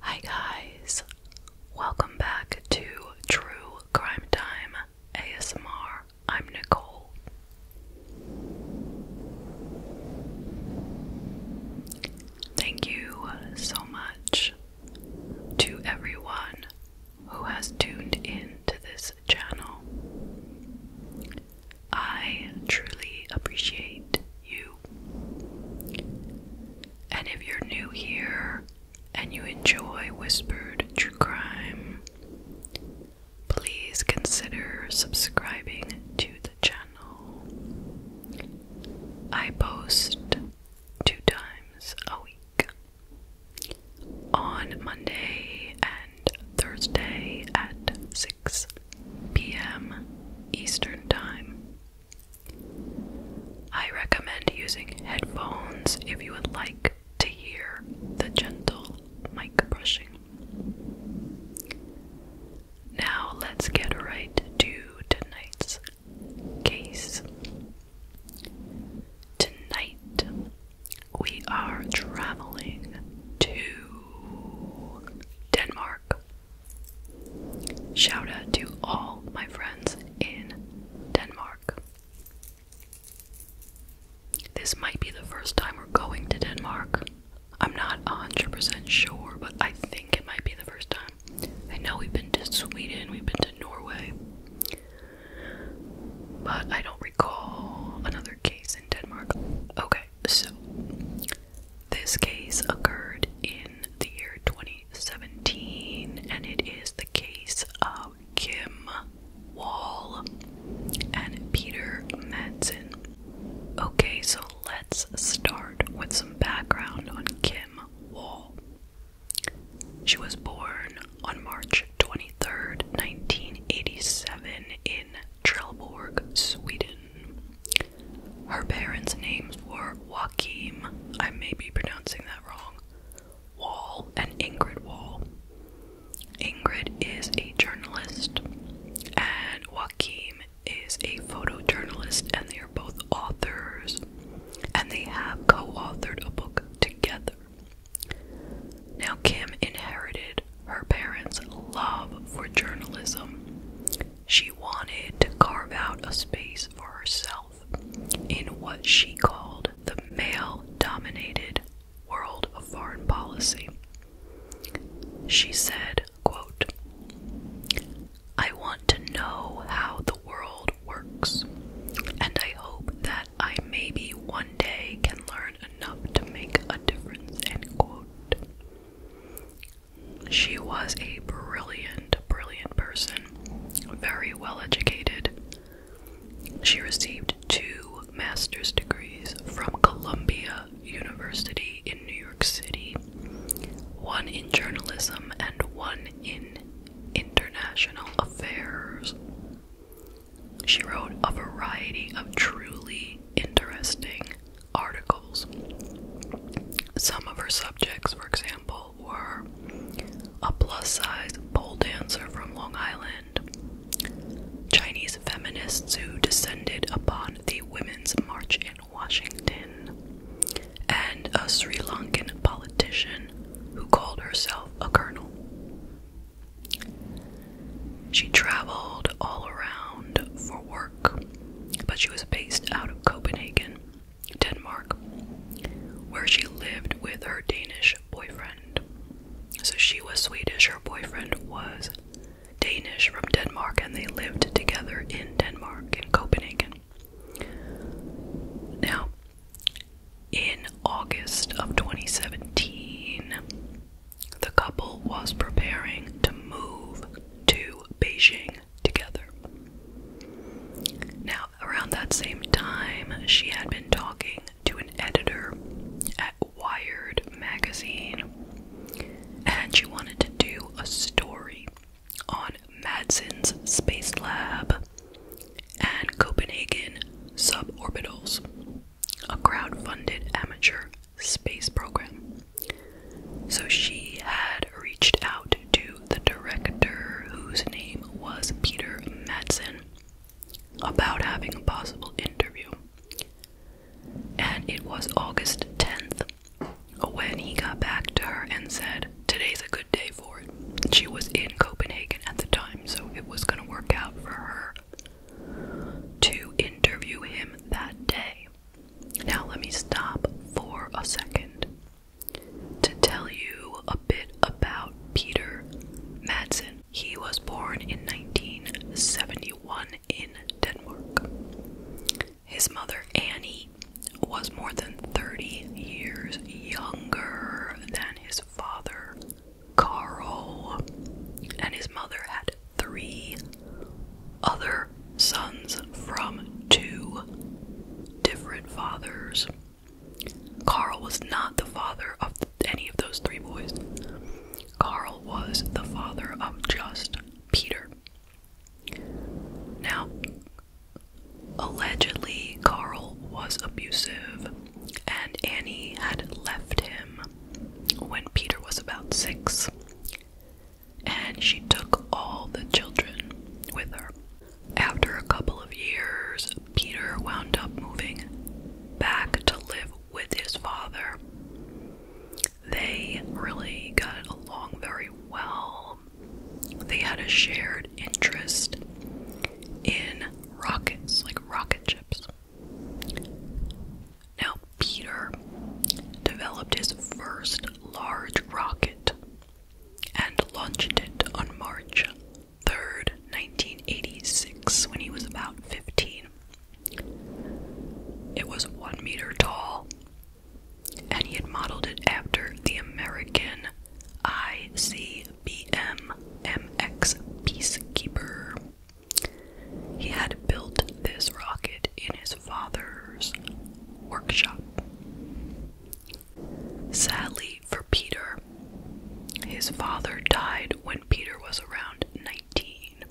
Hi, guys, welcome back to True Crime Time ASMR. I'm Nicole. Thank you so much to everyone who has tuned in to this channel. I truly appreciate you. And if you're new here and you enjoy Whispered True Crime, please consider subscribing to the channel. I post two times a week on Monday and Thursday at 6 p.m. Eastern Time. I recommend using headphones if you would like to hear the gentle mic brushing. Now, let's get right to tonight's case. Tonight we are traveling to Denmark. Shout out to all my friends in Denmark. This might be the first time we're going to Denmark. I'm not 100% sure, but I think it might be the first time. I know we've been to Sweden, we've been to Norway, but I don't recall another case in Denmark. Okay, so this case occurred in the year 2017 and it is the case of Kim Wall and Peter Madsen. Okay, so let's start with some background on Kim Wall. She was born on March 23, 1987, in Trelleborg, Sweden. Her parents' names were joakim I may be pronouncing that wrong, Wall, and Ingrid Wall. Ingrid is a journalist, and Joakim is a photojournalist, and they are both authors, and they have co authored a book together. Now, Kim inherited her parents' love for journalism. She wanted to carve out a space for herself in what she called the male dominated world of foreign policy. She said, quote, I want to know how the world works, and I hope that that I maybe one day can learn enough to make a difference. End quote. She was a brilliant, brilliant person, very well educated. She received two master's degrees from Columbia University in New York City one in journalism and one in international affairs. She wrote a variety of truly interesting articles. Some of her subjects, for example, were a plus size pole dancer from Long Island, Chinese feminists who descended upon the Women's March in Washington, and a Sri Lankan politician who called herself a colonel. She traveled all around for work, but she was based out of Copenhagen, Denmark, where she lived with her Danish boyfriend. So she was Swedish, her boyfriend was Danish from Denmark, and they lived together in Denmark, in Copenhagen. Now, in August of 2017, the couple was preparing to move to Beijing together. Now, around that same time, she had been talking to an editor at Wired magazine, and she wanted to do a story on Madsen's Space Lab and Copenhagen Suborbitals, a crowd-funded amateur space program. So she had reached out to the director, whose name was Peter Madsen, about having a possible interview. And it was August 10th when he got back to her and said, Today's a good day she was in Copenhagen at the time, so it was going to work out for her to interview him that day. Now, let me stop for a second to tell you a bit about Peter Madsen. He was born in 1971 in Denmark. His mother, Annie, was more than 30 years younger than his father, Carl, and his mother had three other sons from two different fathers. Carl was not the father of any of those three boys. Carl was the father of just Peter. Now, allegedly, Carl was abusive and Annie had left him when Peter was about six, and she took all the children with her. After a couple of years, Peter wound up moving back to live with his father. They really got along very well. They had a shared interest in rockets, like rocket ships. Now, Peter developed his first large rocket and launched it on March 3rd, 1986, when he was about 15. It was one meter tall, and he had modeled it after the American IC IBM Peacekeeper. He had built this rocket in his father's workshop. Sadly for Peter, his father died when Peter was around 19,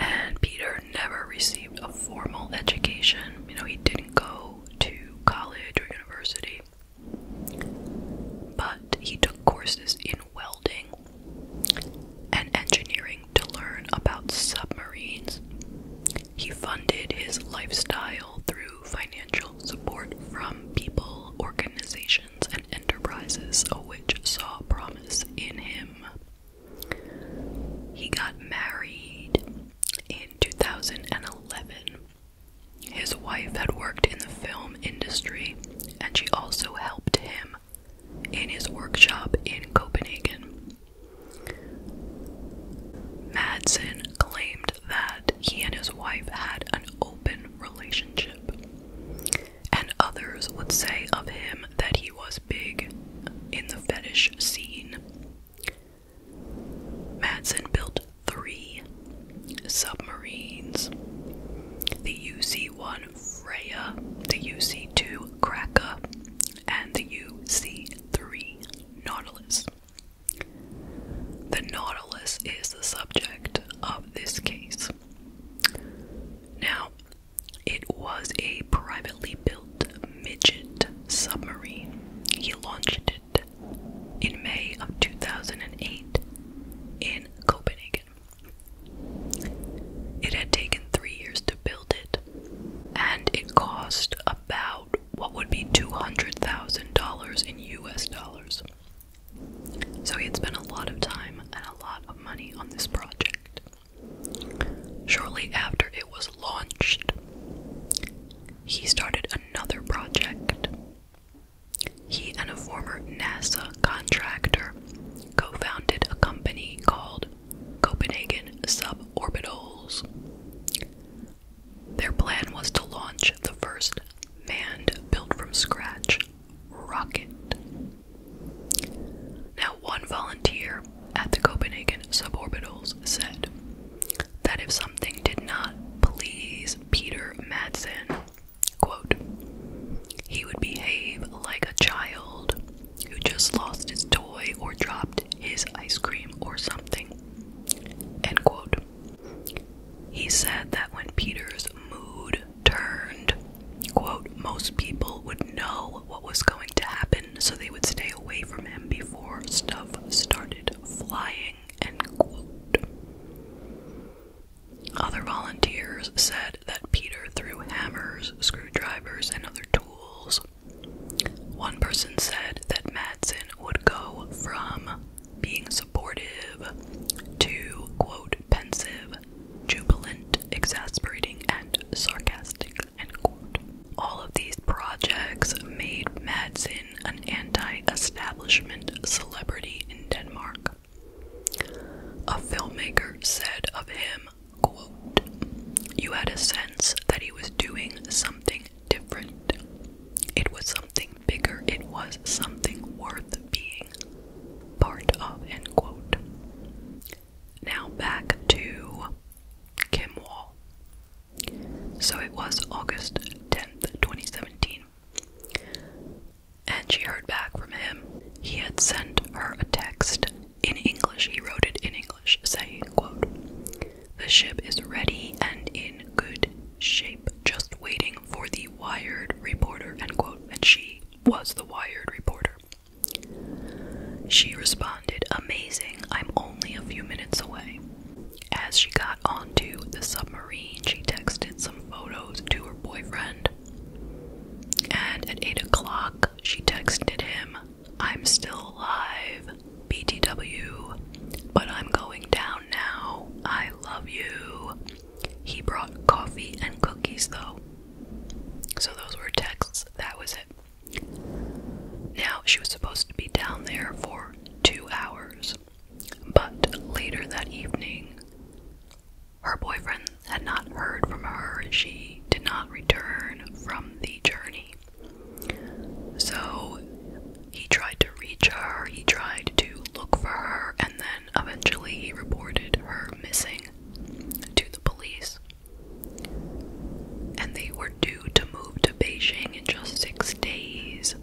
and Peter never received a formal education. You know, he didn't go to college or university. But he took courses in welding and engineering to learn about submarines. He funded his lifestyle through financial support from people, organizations, and enterprises which saw promise in him. He got married in 2011 his wife had worked in the film industry and she also helped him in his workshop in Copenhagen. Madsen claimed that he and his wife had an open relationship, and others would say of him that he was big in the fetish scene. Madsen built three submarines the UC 1 Freya, the UC 2 Kraka, and the UC 3 Nautilus. The Nautilus is the subject of this case. Now, it was a privately built midget submarine. He launched it in May of 2008 in Copenhagen. It had taken three years to build it, and it cost about what would be $200,000 in US dollars. So he had spent a lot of time and a lot of money on this project. Shortly after it was launched, he started another project he and a former NASA contractor co founded a company called Copenhagen Suborbitals. Their plan was to launch the first manned, built from scratch, rocket. Now, one volunteer at the Copenhagen Suborbitals said, that if something did not please Peter Madsen, he would behave like a child who just lost his toy or dropped his ice cream or something, He said that when Peter's mood turned, most people would know what was going to happen, so they would stay away from him before stuff started flying. Other volunteers said that Peter threw hammers, screwdrivers, and other tools. One person said that Madsen would go from being supportive to, quote, pensive, jubilant, exasperating, and sarcastic, All of these projects made Madsen an anti establishment celebrity in Denmark. A filmmaker said of him, quote, You had a sense that he was doing something different. It was something bigger, it was something worth being part of, end quote. Now back to Kim Wall. So it was August 10th, 2017, and she heard back from him. He had sent her a text in English. He wrote it in English, saying, quote, The ship is ready and in good shape, just waiting for the wired reporter, end quote. And she was the wired reporter. She responded, Amazing, I'm only a few minutes away. As she got onto the submarine, she texted some photos to her boyfriend. And at 8 o'clock, she texted him, I'm still alive, BTW, but I'm going down now. I love you. He brought coffee and cookies, though. So those were texts. That was it. Now, she was supposed to be down there for two hours. But later that evening, her boyfriend had not heard from her and she did not return from the journey. So he tried to reach her, he tried to look for her, and then eventually he reported her missing to the police. And they were due to move to Beijing in just six days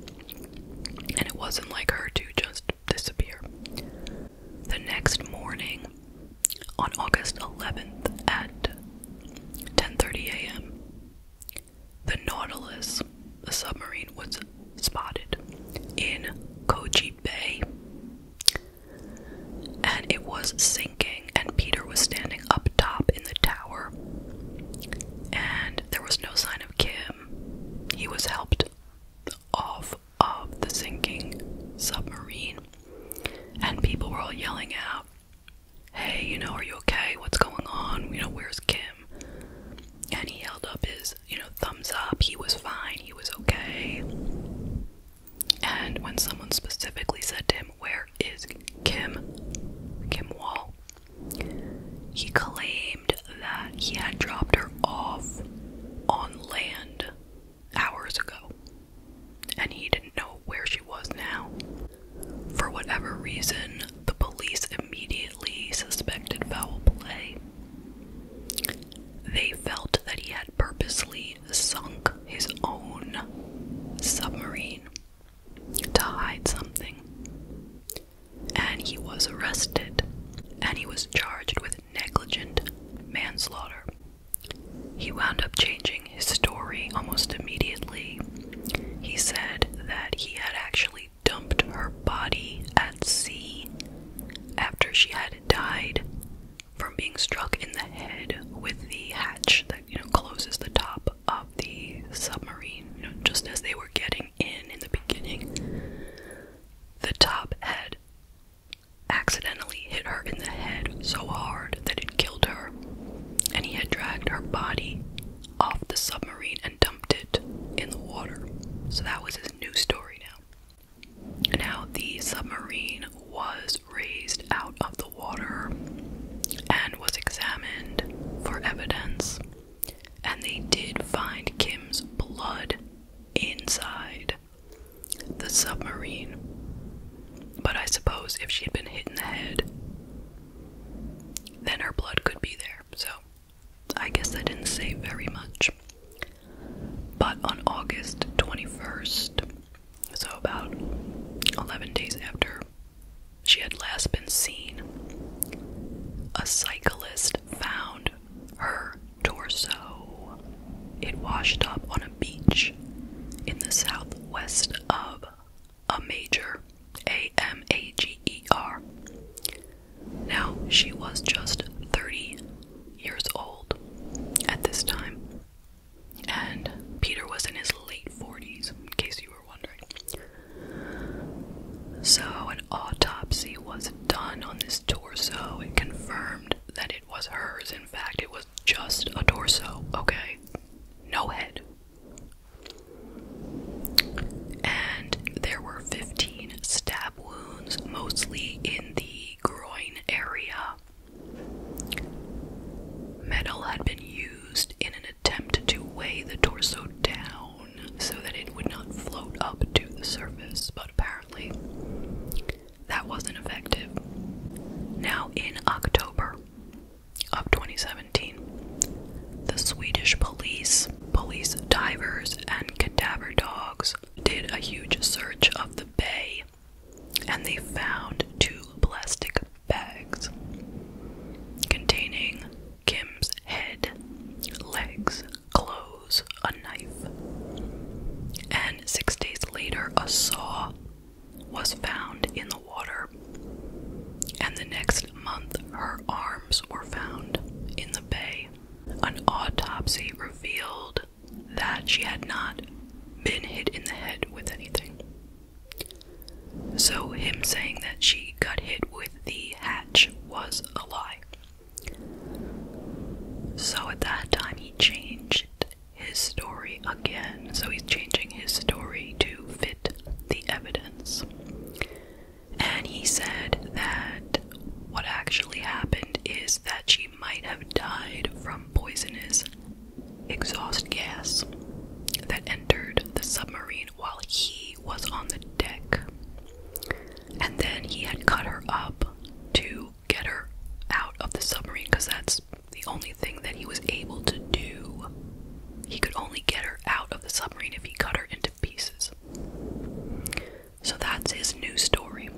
and it wasn't like her to just disappear. The next morning, on August 11th at 10:30 a.m., the Nautilus, the submarine, was spotted in Koji Bay, and it was sinking. And Peter was standing up top in the tower, and there was no sign of Kim he was helped off of the sinking submarine, and people were all yelling out, Hey, you know, are you okay? What's going on? You know, where's Kim? And he held up his, you know, thumbs up. He was fine. He was okay. And when someone specifically said to him, Where is Kim? Kim Wall, he claimed that he had dropped her off on land hours ago and he didn't know where she was now. For whatever reason, the police immediately suspected foul play. They felt that he had purposely sunk his own submarine to hide something and he was arrested and he was charged with negligent manslaughter. He wound up changing his story almost immediately. He said that he had actually dumped her body at sea after she had died from being struck in the head with the hatch that closes the top of the submarine just as they were getting in in the beginning, the top head accidentally hit her in the head so hard that it killed her, and he had dragged her body off the submarine and dumped it in the water. So that was his new story now. Now, the submarine was raised out of the water and was examined for evidence and they did find Kim's blood inside the submarine. But I suppose if she had been hit in the head, then her blood could be there. So I guess that didn't say very much. But on August 21st, so about 11 days after she had last been seen, a cyclist found her torso. It washed up on a beach in the southwest of a major, A M A G E R. Now, she was just 30 years old at this time, and Peter was in his late 40s, in case you were wondering. So, an autopsy was done on this torso It confirmed that it was hers. In fact, it was just a torso, okay? No head. And there were 15 stab wounds, mostly in the groin area. Metal had been used in an attempt to weigh the torso down so that it would not float up to the surface, but apparently that wasn't effective. Now, in October of 2017, the Swedish police, police divers, and cadaver dogs did a huge search of the bay and they found two plastic bags containing Kim's head, legs, clothes, a knife. And six days later, a saw was found in the water. And the next month, her arms were found in the bay. An autopsy revealed that she had not been hit in the head with anything. So, him saying that she got hit with the hatch was a lie. So at that time, he changed his story again. So he's changing his story to fit the evidence. And he said that what actually happened is that she might have died from poisonous exhaust gas that entered the submarine while he was on the deck. And then he had cut her up to get her out of the submarine because that's the only thing that he was able to do. He could only get her out of the submarine if he cut her into pieces. So that's his new story.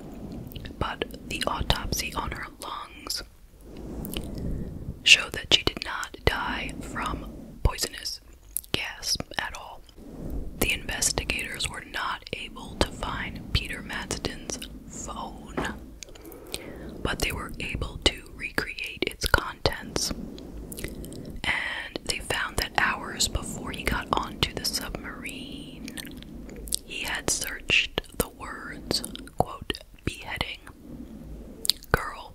But the autopsy on her lungs showed that she did not die from poisonous gas at all. The investigators were not able to find Peter Madsden's phone, but they were able to recreate its contents. And they found that hours before he got onto the submarine, he had searched the words, quote, beheading, girl,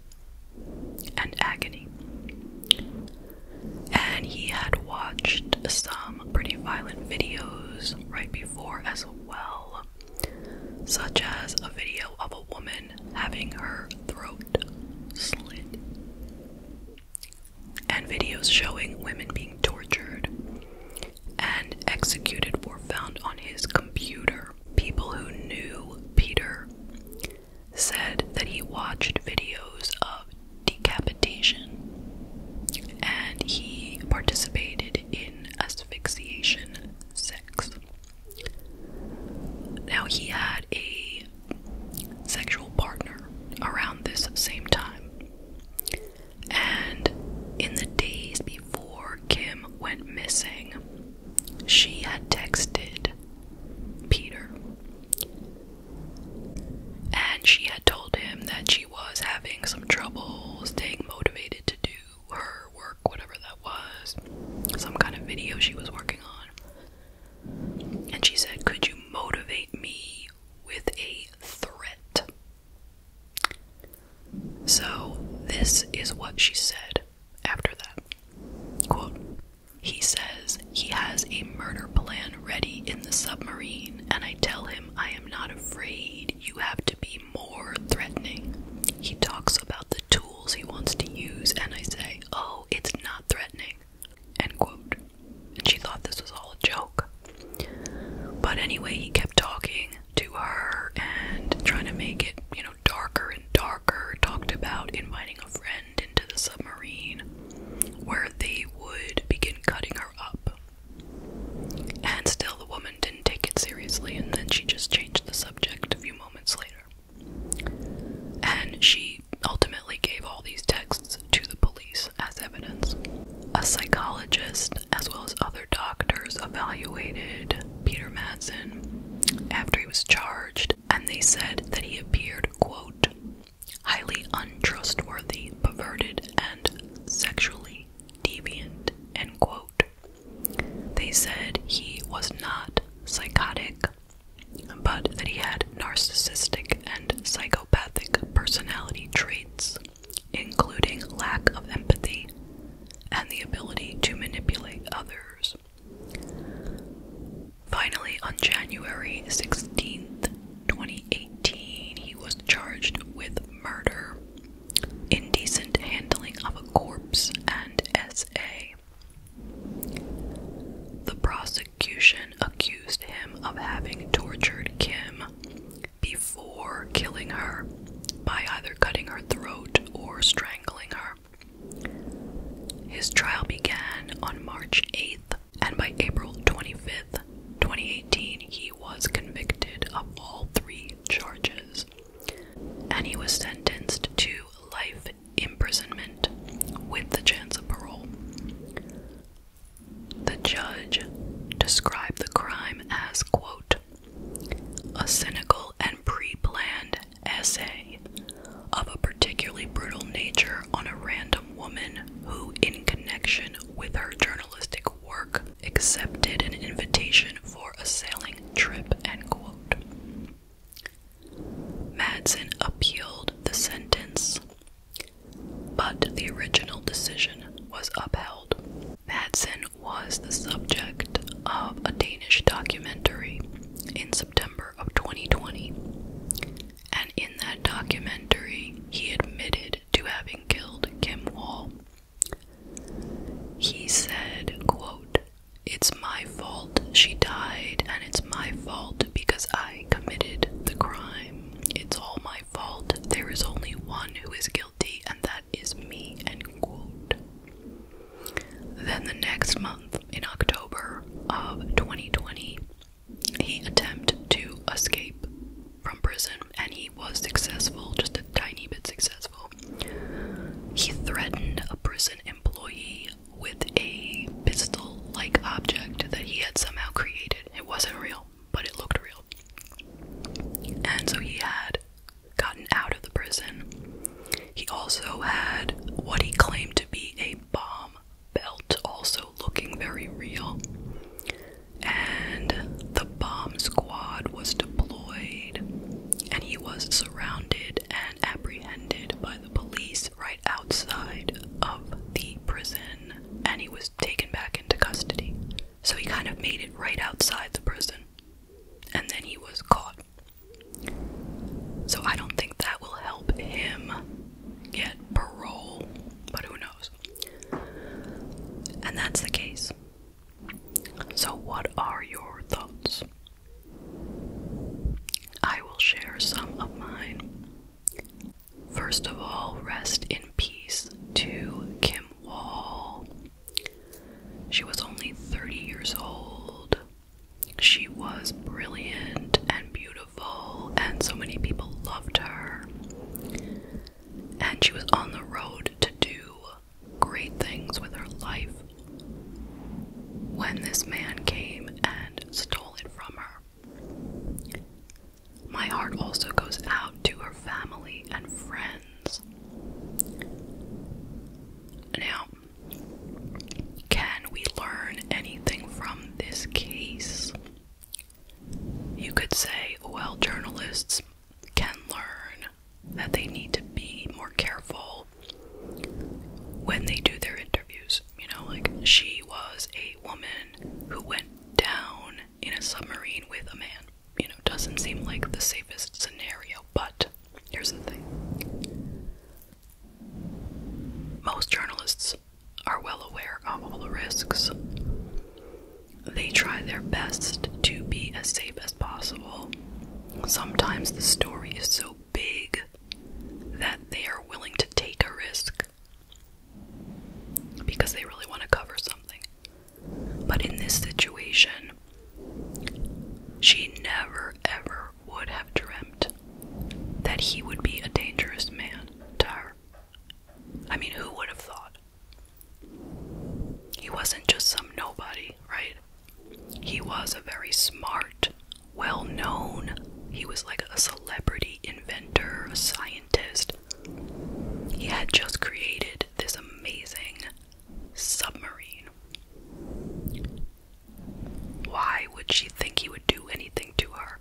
and agony and he had watched some pretty violent videos right before as well, such as a video of a woman having her throat slit, and videos showing women being tortured and executed were found on his computer. People who knew Peter said that he watched videos of decapitation and he participated in asphyxiation sex. Now, he had a sexual partner around this same time. And in the days before Kim went missing, she had texted Peter and she had told him that she was having some trouble staying motivated to do her work, whatever that was, some kind of video she was working on. And she said, Could you motivate me with a threat? So, this is what she said after that. Quote, he says he has a murder plan ready in the submarine, and I tell him I am not afraid. You have to be more threatening. He talks about the tools he wants to use, and I say, Oh, it's not threatening. End quote. And she thought this was all a joke. But anyway, he kept talking to her and trying to make it, you know, darker and darker. Talked about inviting a friend into the submarine, where they would begin cutting her up. And still, the woman didn't take it seriously, and then she just changed the subject a few moments later. And she ultimately gave all these texts to the police as evidence. A psychologist, as well as other doctors, evaluated Peter Madsen after he was charged, and they said that he appeared, quote, highly untrustworthy, perverted, and sexually deviant. They said he was not psychotic, but that he had narcissistic and psychopathic personality traits, including lack of empathy and the ability to manipulate others. Finally, on January 16, 2018, he was charged with murder, indecent handling of a corpse, and SA. The prosecution accused him of having tortured Kim before killing her by either cutting her throat or strangling her. His trial began on March 8th, and by April 25th, 2018, he was convicted of all three charges. And he was sentenced to life imprisonment with the chance of parole. The judge described the crime as, quote, a cynical and pre planned essay of a particularly brutal nature on a random woman who, in connection with her journalistic work, accepted an invitation for a sailing trip. End quote. Madsen appealed the sentence, but the original decision was upheld. Madsen was the subject of a Danish documentary in September of 2020 and in that documentary, he admitted to having killed Kim Wall. He said, quote, It's my fault she died, and it's my fault because I committed the crime. It's all my fault. There is only one who is guilty, and that is me, end quote. Then the next month, in October of 2020, he attempted to escape from prison and he was successful, just a tiny bit successful. He threatened a prison employee with a pistol like object that he had somehow created. It wasn't real, but it looked real. And so he had gotten out of the prison. He also had what he claimed to be a bomb belt also looking very real. And the bomb squad was deployed, and he was surrounded and apprehended by the police right outside of the prison, and he was taken back into custody. So he kind of made it right outside the prison, and then he was caught. So I don't think that will help him get parole, but who knows? And that's the case. So, what are your thoughts? I will share some of mine. First of all, rest in peace to Kim Wall. She was only 30 years old. She was brilliant and beautiful and so many people loved her. And she was on the road to do great things with her life when this man came and stole it from her. My heart also goes out to her family and friends. Now, can we learn anything from this case? You could say, well, journalists can learn that they need to be more careful when they do their interviews. You know, like she was a woman who went down in a submarine with a man. You know, doesn't seem like the safest scenario, but here's the thing most journalists are well aware of all the risks. They try their best to be as safe as possible. Sometimes the story is so big that they are willing to take a risk because they really want to cover something. But in this situation, she never ever would have dreamed that he would be a dangerous man tar. I mean, who would have thought? He wasn't just some nobody, right? He was a very smart, well known, he was like a celebrity inventor, a scientist. He had just created this amazing submarine. Why would she think he would do anything to her?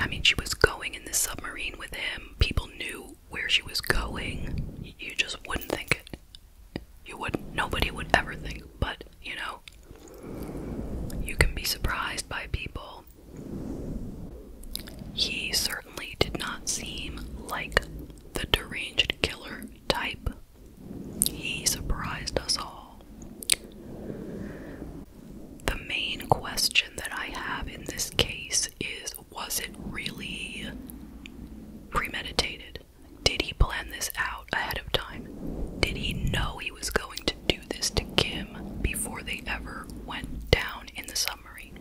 I mean, she was going in the submarine with him. People knew where she was going. You just wouldn't think it. You wouldn't. Nobody would ever think. But, you know, you can be surprised by people. He certainly did not seem like the deranged killer type. He surprised us all. The main question that I have in this case is was it really premeditated? Did he plan this out ahead of time? Did he know he was going to do this to Kim before they ever went down in the submarine?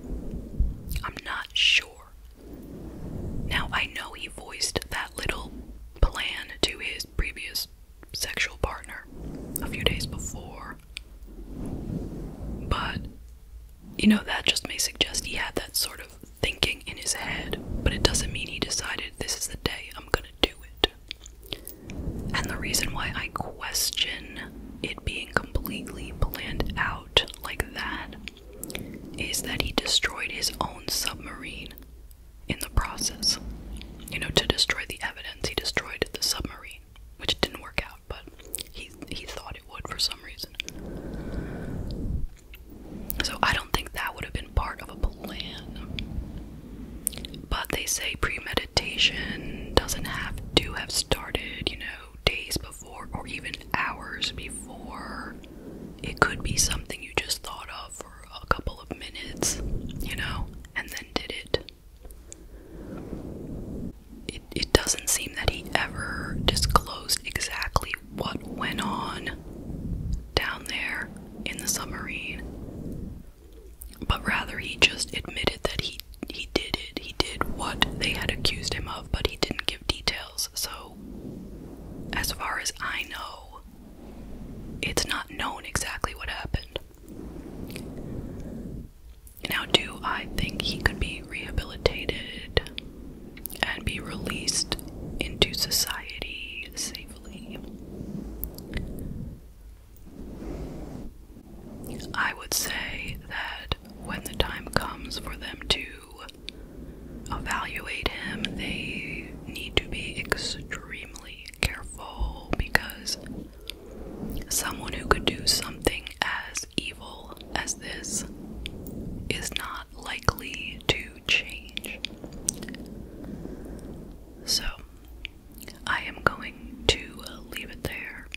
I'm not sure. Now, I know he voiced that little plan to his previous sexual partner a few days before. But, you know, that just may suggest he had that sort of thinking in his head, but it doesn't mean he decided this is the day I'm gonna do it. And the reason why I question it being completely planned out like that is that he destroyed his own submarine in the process. You know, to destroy the evidence, he destroyed the submarine, which didn't work out, but he he thought it would for some reason. So I don't think that would have been part of a plan. But they say premeditation doesn't have to have started, you know, days before or even hours before. It could be something you just thought of a couple of minutes, you know, and then did it. It, it doesn't seem that he ever disclosed exactly what went on down there in the submarine, but rather he just admitted that he he did it. He did what they had accused him of, but he didn't give details. So, as far as I know, it's not known exactly what happened. Now, do I think he could be rehabilitated and be released into society safely? I would say that when the time comes for them to evaluate him, they need to be extremely careful because someone who could do something as evil as this is not likely to change. So, I am going to leave it there.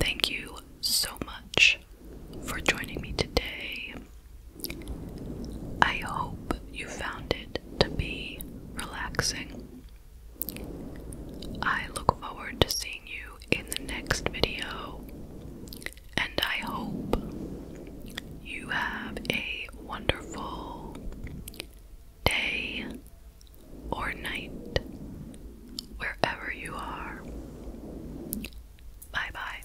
Thank you so much for joining me today. I hope you found it to be relaxing. I look forward to seeing you in the next video, and I hope you have a wonderful day or night wherever you are. Bye bye.